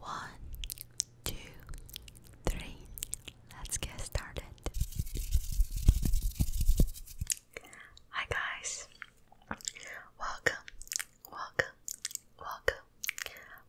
One, two, three. Let's get started. Hi, guys. Welcome, welcome, welcome,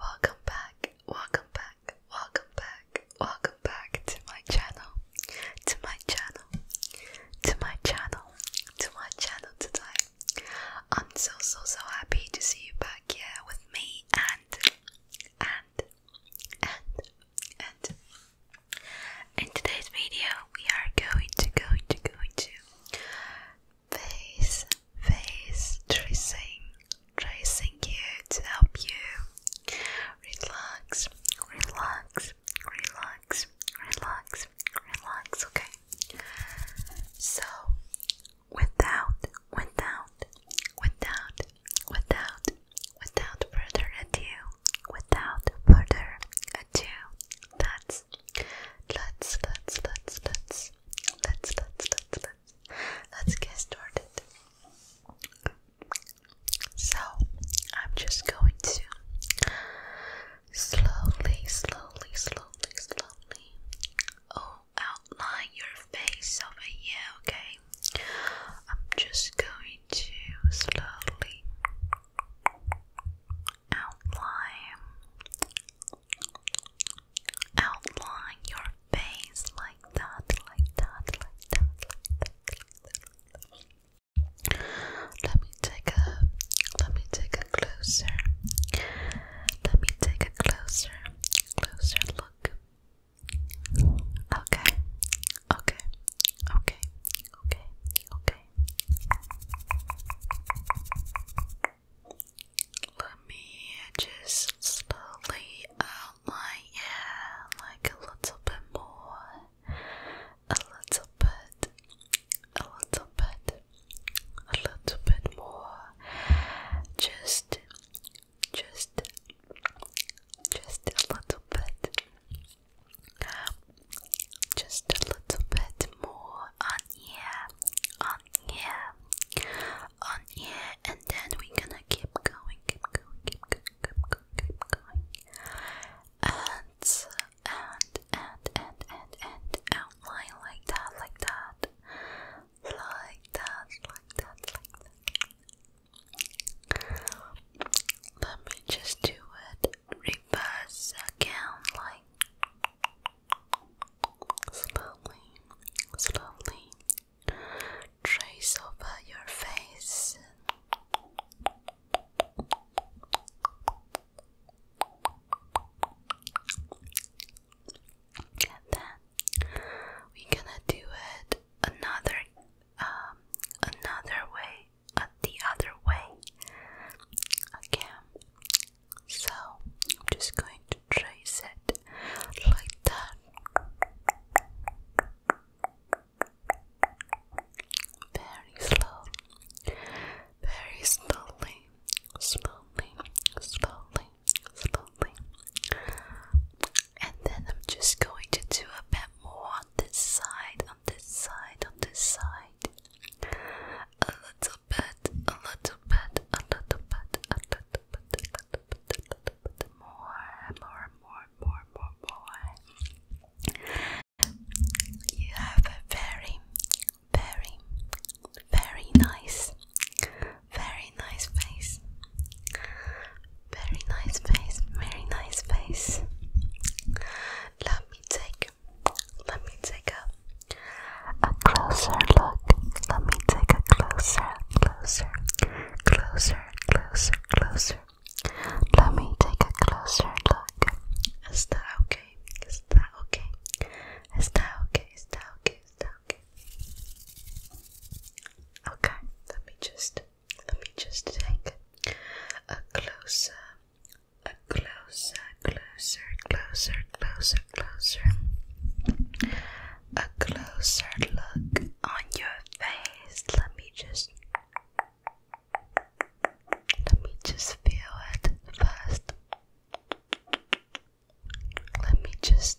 welcome back, welcome back, welcome back, welcome back to my channel, to my channel, to my channel, to my channel today. I'm so so so happy to see you back here with me and and and and in today's video we are going to going to going to face face tracing tracing you to help you relax relax relax relax relax okay so, without, without, without, without, without further ado, without further ado, let's, let's, let's, let's, let's, let's, let's, let's, let's, let's get started. So, I'm just going to Slowly, slowly, slowly, slowly. Oh, outline your face over here, okay? I'm just going to slowly outline, outline your face like that, like that, like that, Let me take a let me take closer. Let me take a closer, closer look. Okay, okay, okay, okay, okay. Let me just slowly outline yeah, like a little bit more, a little bit, a little bit, a little bit more, just, just, just a little bit, just a little bit more on here, on here, on here, and then we're gonna keep going, keep going, keep going, keep going, keep going, and and and and and and outline like that, like that, like that, like that, Let me just do it reverse again, like slowly, slowly trace over your face we gonna do it another um another way uh, the other way again. So I'm just going to trace it like that. Very slow very slowly, slowly, slowly, slowly. And then I'm just going to do a bit more on this side, on this side, on this side. A little bit, a little bit, a little bit, a little bit, a little bit, a more, more, more, more, more, more. You have a very, very, very nice, very nice face. Very nice face, very nice face. Let me take, let me take a, a closer look. Let me take a closer, closer, closer, closer, closer. Let me take a closer look. Is that is that okay? Is that okay? Is that okay? Okay, let me just let me just take a closer, a closer, closer, closer, closer, closer, a closer look on your face. Let me just let me just feel it first. Let me just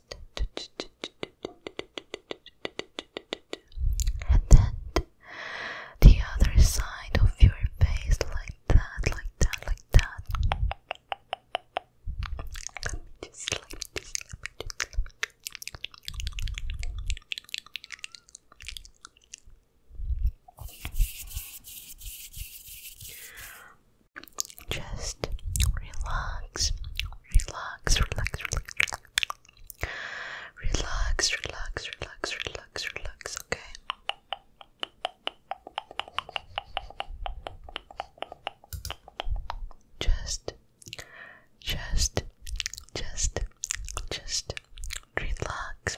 and then the other side of your face like that, like that, like that. Just relax, relax, relax, relax, relax, relax, relax, relax, relax, relax okay. Just, just, just, just relax,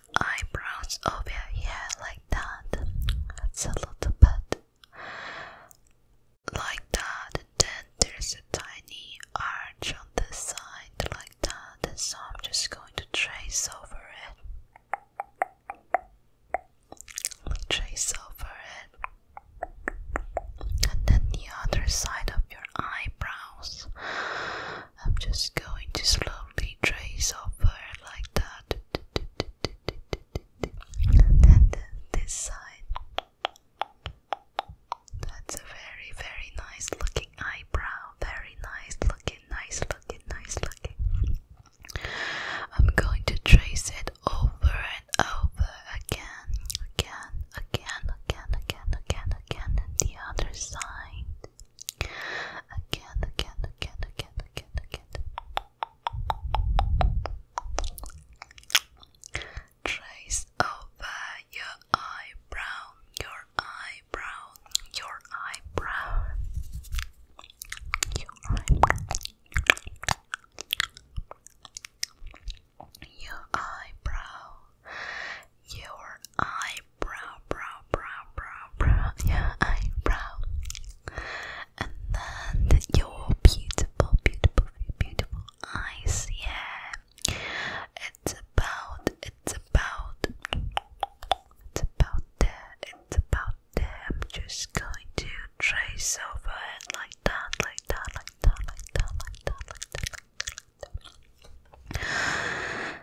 eyebrows over here like that. That's a little bit like that. then there's a tiny arch on the side like that. so I'm just going to trace over it. Trace over it. And then the other side of your eyebrows. I'm just going to slowly trace over like that. And then this side. That's a very, very nice looking eyebrow. Very nice looking, nice looking, nice looking. I'm going to trace it over and over again, again, again, again, again, again, again, and the other side. Again, again, again, again, again, again. Trace over your eyebrow, your eyebrow, your eyebrow, your eyebrow, your eyebrow, your eyebrow brow, brow, brow, brow, brow, your eyebrow, and then your beautiful, beautiful, beautiful eyes. Yeah, it's about, it's about, it's about there, it's about there. just going to trace over it like that, like that, like that, like that, like that. Like that, like that.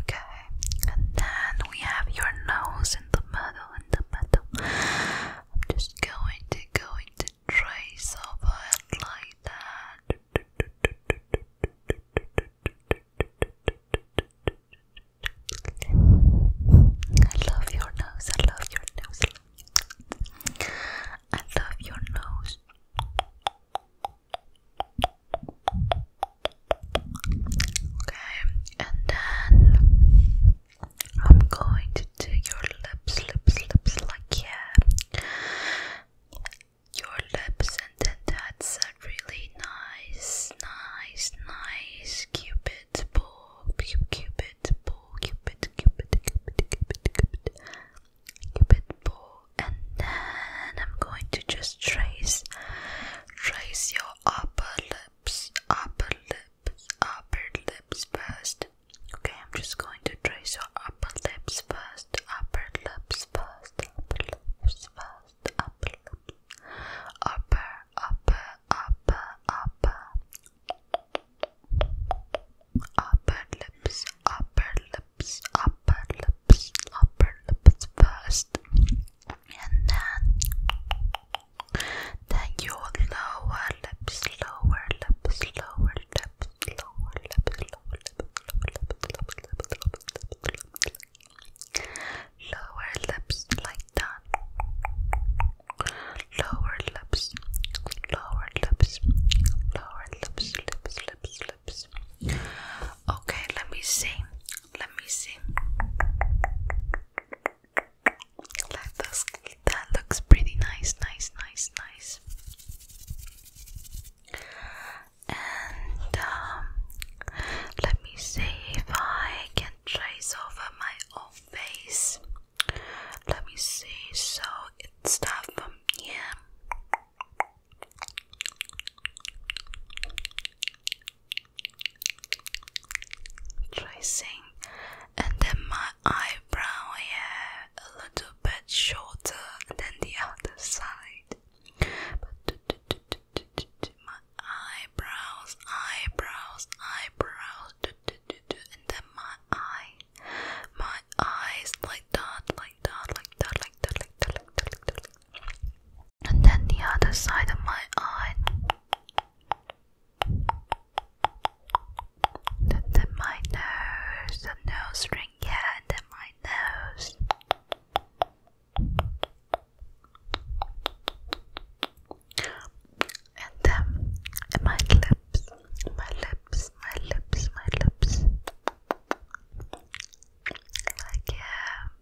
Okay, and then we have your nose in the middle, in the middle. I'm just going to going to trace over it like that. I love your nose. I love your nose. I love your nose. Okay, and then I'm going to do your lips, lips, lips, like yeah, your lips, and then that's a really nice, nice, nice cupid ball, cupid, cupid ball, cupid, cupid, cupid, cupid, cupid, cupid ball and then I'm going to just trace trace your upper lips upper lips upper lips first okay I'm just going to trace your upper lips first upper lips first upper lips first upper upper upper upper upper lips upper lips upper lips upper lips first, and then then your lower lips, lower lips, lower lips, lower lips, lower lips, lower lips, like that. Lower lips, lower lips, lower lips, lips, lips, Okay, let me see. Let me see. That looks pretty nice, nice, nice, nice. And um, let me see if I can trace over my own face. Let me see. So it's starts from here tracing and then my eyebrow here a little bit shorter than the other side but my eyebrows eyebrows eyebrows and then my eye my eyes like like that like that like that like that like that like that, like that and then the other side of my eye then, my nose the nose ring yeah and then my nose and then my lips my lips my lips my lips like yeah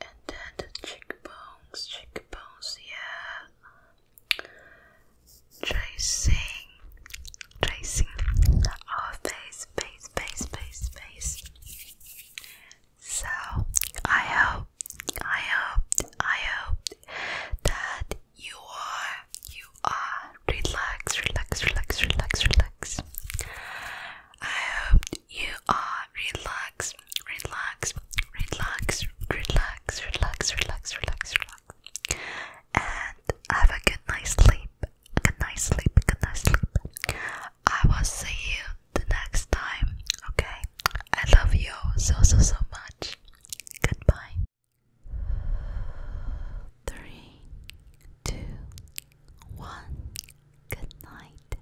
and then the cheekbones, cheekbones, yeah. Tracing, tracing our face, face, face, face, face. So I hope, I hope, I hope that you are, you are relaxed, relax, relax, relax, relax. I hope you are relaxed, relaxed, relaxed, relaxed, relaxed, relaxed, relaxed, relaxed. And have a good night's sleep. Good night's sleep. Good night's sleep. I will see you the next time. Okay? I love you so so so much. Goodbye. Three, two, one. Good night.